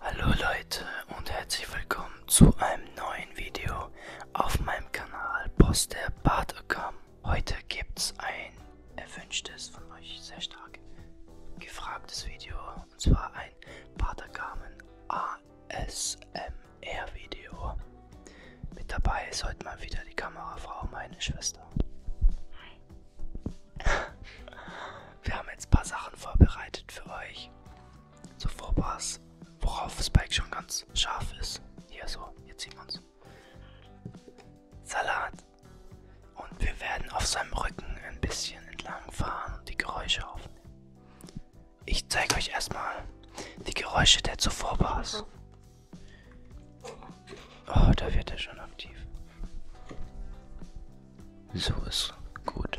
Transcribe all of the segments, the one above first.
Hallo Leute und herzlich willkommen zu einem neuen Video auf meinem Kanal Poster Bartokam. Heute gibt's ein erwünschtes von euch sehr stark gefragtes Video und zwar ein Bartakamen A ASMR-Video. Mit dabei ist heute mal wieder die Kamerafrau, meine Schwester. Wir haben jetzt ein paar Sachen vorbereitet für euch. So Vorpass, worauf Spike schon ganz scharf ist. Hier so, jetzt sieht man's. Salat. Und wir werden auf seinem Rücken ein bisschen entlang fahren und die Geräusche aufnehmen. Ich zeige euch erstmal die Geräusche der zuvor Bars. Oh, da wird er schon aktiv. So ist gut.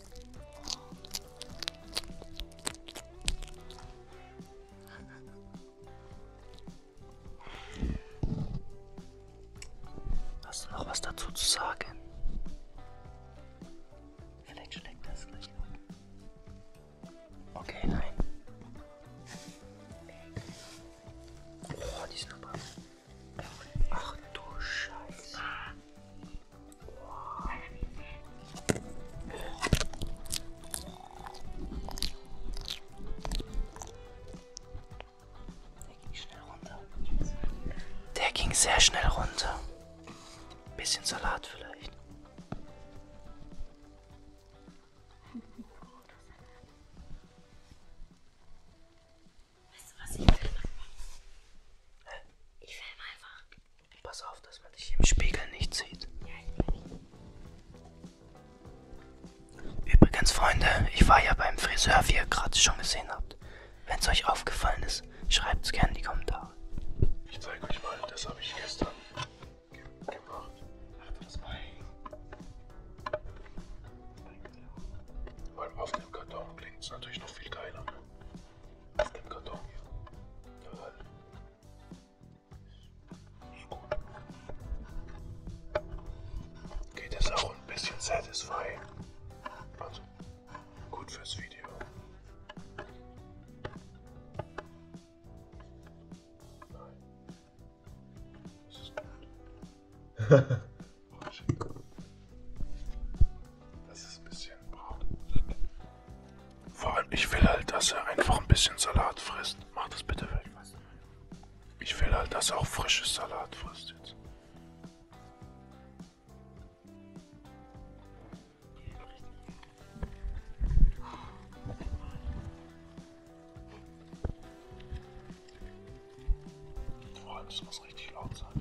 Hast du noch was dazu zu sagen? Vielleicht schlägt das gleich ab. Okay, nein. Oh, die sind aber. Ach du Scheiße. Der ging sehr schnell runter. Bisschen Salat vielleicht. Weißt du was, ich will mal. Ich filme einfach. Pass auf, dass man dich im Spiegel nicht sieht. Ja, ich Übrigens, Freunde, ich war ja beim Friseur, wie ihr gerade schon gesehen habt. Wenn es euch aufgefallen ist, schreibt es gerne in die Kommentare. Ich zeige euch mal, das habe ich gestern ge gemacht. Warte, das mal. Weil auf dem Karton klingt es natürlich noch viel geiler. Ne? Es gibt Karton hier. Jawohl. Halt. Ist gut. Geht es auch ein bisschen satisfying. Also, gut fürs Video. Nein. Das ist gut. Das ist ein bisschen braun. Vor allem, ich will halt, dass er einfach ein bisschen Salat frisst. Mach das bitte weg. Ich will halt, dass er auch frisches Salat frisst jetzt. Vor allem, es muss richtig laut sein.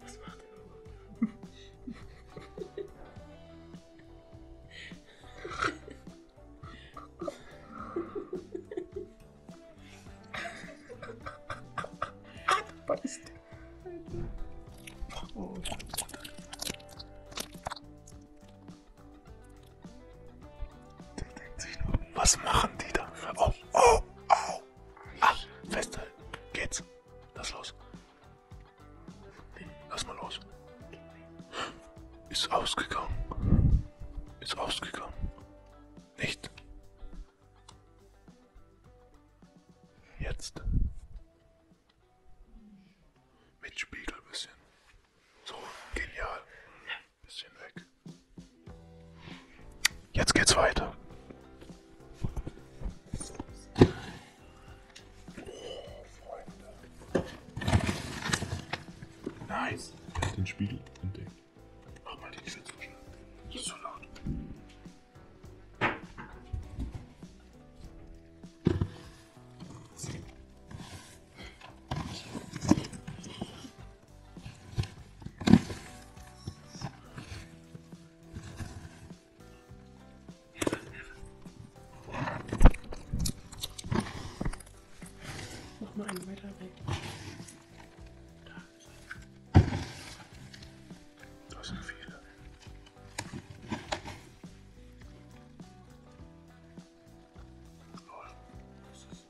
Was macht er? Beißt. Oh. Der denkt sich nur, was machen die da? Oh, oh, oh. Ah, festhalten. Geht's. Lass los. Lass mal los. Ist ausgegangen. Ist ausgegangen. Nicht. Jetzt. Mit Spiegel ein bisschen. So, genial. Bisschen weg. Jetzt geht's weiter. Nein. Er hat den Spiegel entdeckt. Mach mal die Tür zu schnell. Das ist so laut. Nochmal einen weiter weg. Das sind viele. Lol. Was ist?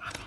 Achtung.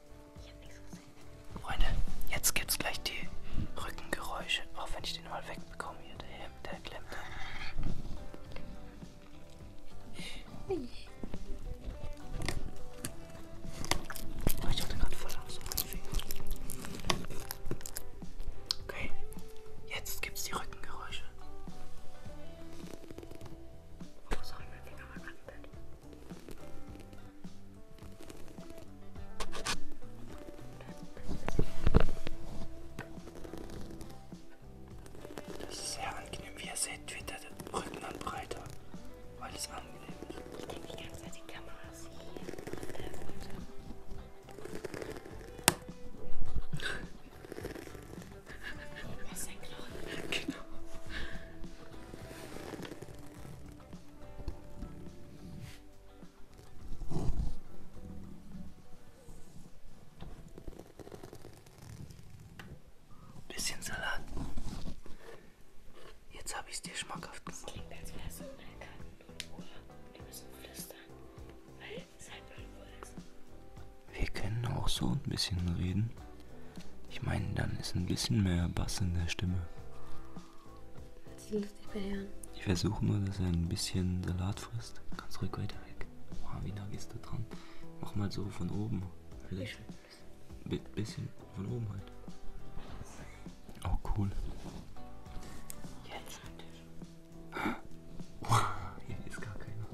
Freunde, jetzt gibt's gleich die Rückengeräusche. Auch wenn ich den mal wegbekomme hier, der, Hemd, der klemmt. Ich hatte gerade voll Angst um Okay, jetzt gibt's die Rückengeräusche. Oh, sorry, mein Finger war gerade das ist sehr angenehm. Wie ihr seht, wird der Rücken dann breiter, weil es angenehm ist. Ich denke die ganze Zeit, die Kamera ist hier auf der Seite. Das ist ein Knochen. Genau. Bisschen Salat. Jetzt habe ich es dir schmackhaft gemacht. Das klingt, als wäre es in der Karten Wir müssen flüstern, weil es halt Müllwohl ist. Wir können auch so ein bisschen reden. Ich meine, dann ist ein bisschen mehr Bass in der Stimme. Die Luft nicht mehr hören. Ich versuche nur, dass er ein bisschen Salat frisst. Ganz ruhig weiter weg. Wow, wie nah gehst du dran? Mach mal so von oben. Vielleicht ein bisschen von oben halt. Oh, cool. Jetzt natürlich. Hier ist gar keiner.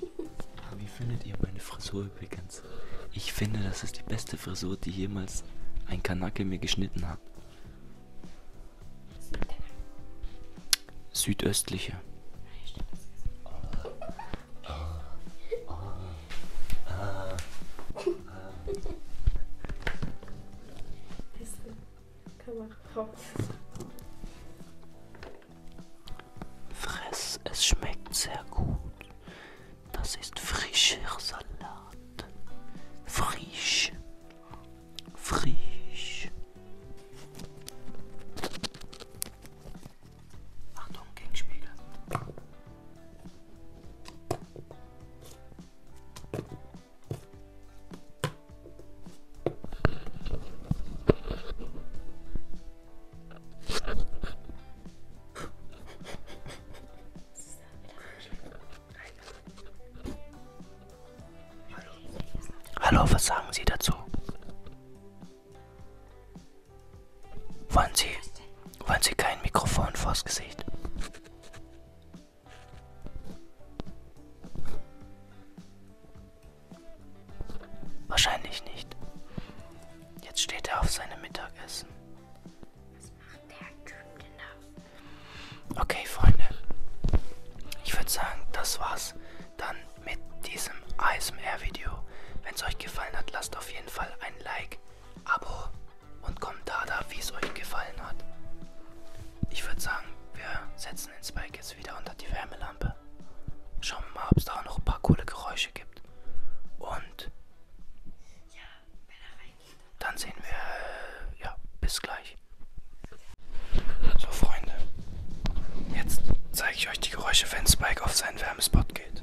Aber wie findet ihr meine Frisur übrigens? Scheiß. Ich finde, das ist die beste Frisur, die jemals ein Kanake mir geschnitten hat. Südöstliche. Fress, es schmeckt sehr gut. Das ist frischer Salat. Frisch. Frisch. Achtung, gegen Spiegel. Hallo, was sagen Sie dazu? Wollen Sie, wollen Sie kein Mikrofon vors Gesicht? Wahrscheinlich nicht. Jetzt steht er auf seinem Mittagessen. Was macht der Typ denn da? Okay, Freunde. Ich würde sagen, das war's dann mit diesem ASMR-Video. Wenn es euch gefallen hat, lasst auf jeden Fall ein Like, Abo und Kommentar da, wie es euch gefallen hat. Ich würde sagen, wir setzen den Spike jetzt wieder unter die Wärmelampe. Schauen wir mal, ob es da auch noch ein paar coole Geräusche gibt gibt. Und dann sehen wir, äh, ja, bis gleich. So, Freunde, jetzt zeige ich euch die Geräusche, wenn Spike auf seinen Wärmespot geht.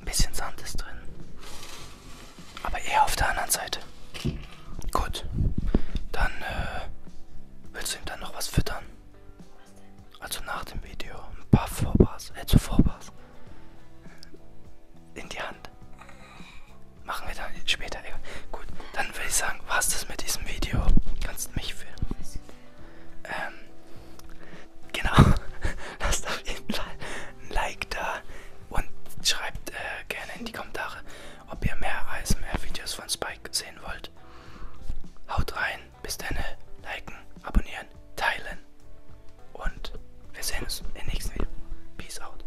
Ein bisschen Sand ist drin. Aber eher auf der anderen Seite. Gut. Dann äh, willst du ihm dann noch was füttern? Also nach dem Video. Ein paar Vorbars. Äh, zu Vorbars. In die Hand. Machen wir dann später. Gut. Dann würde ich sagen, war's das mit diesem Video. Kannst mich filmen. Ähm, genau. Lasst auf jeden Fall ein Like da und schreibt äh, gerne in die Kommentare, ob ihr mehr ASMR-Videos von Spike sehen wollt. Haut rein, bis dann, liken, abonnieren, teilen und wir sehen uns im nächsten Video. Peace out.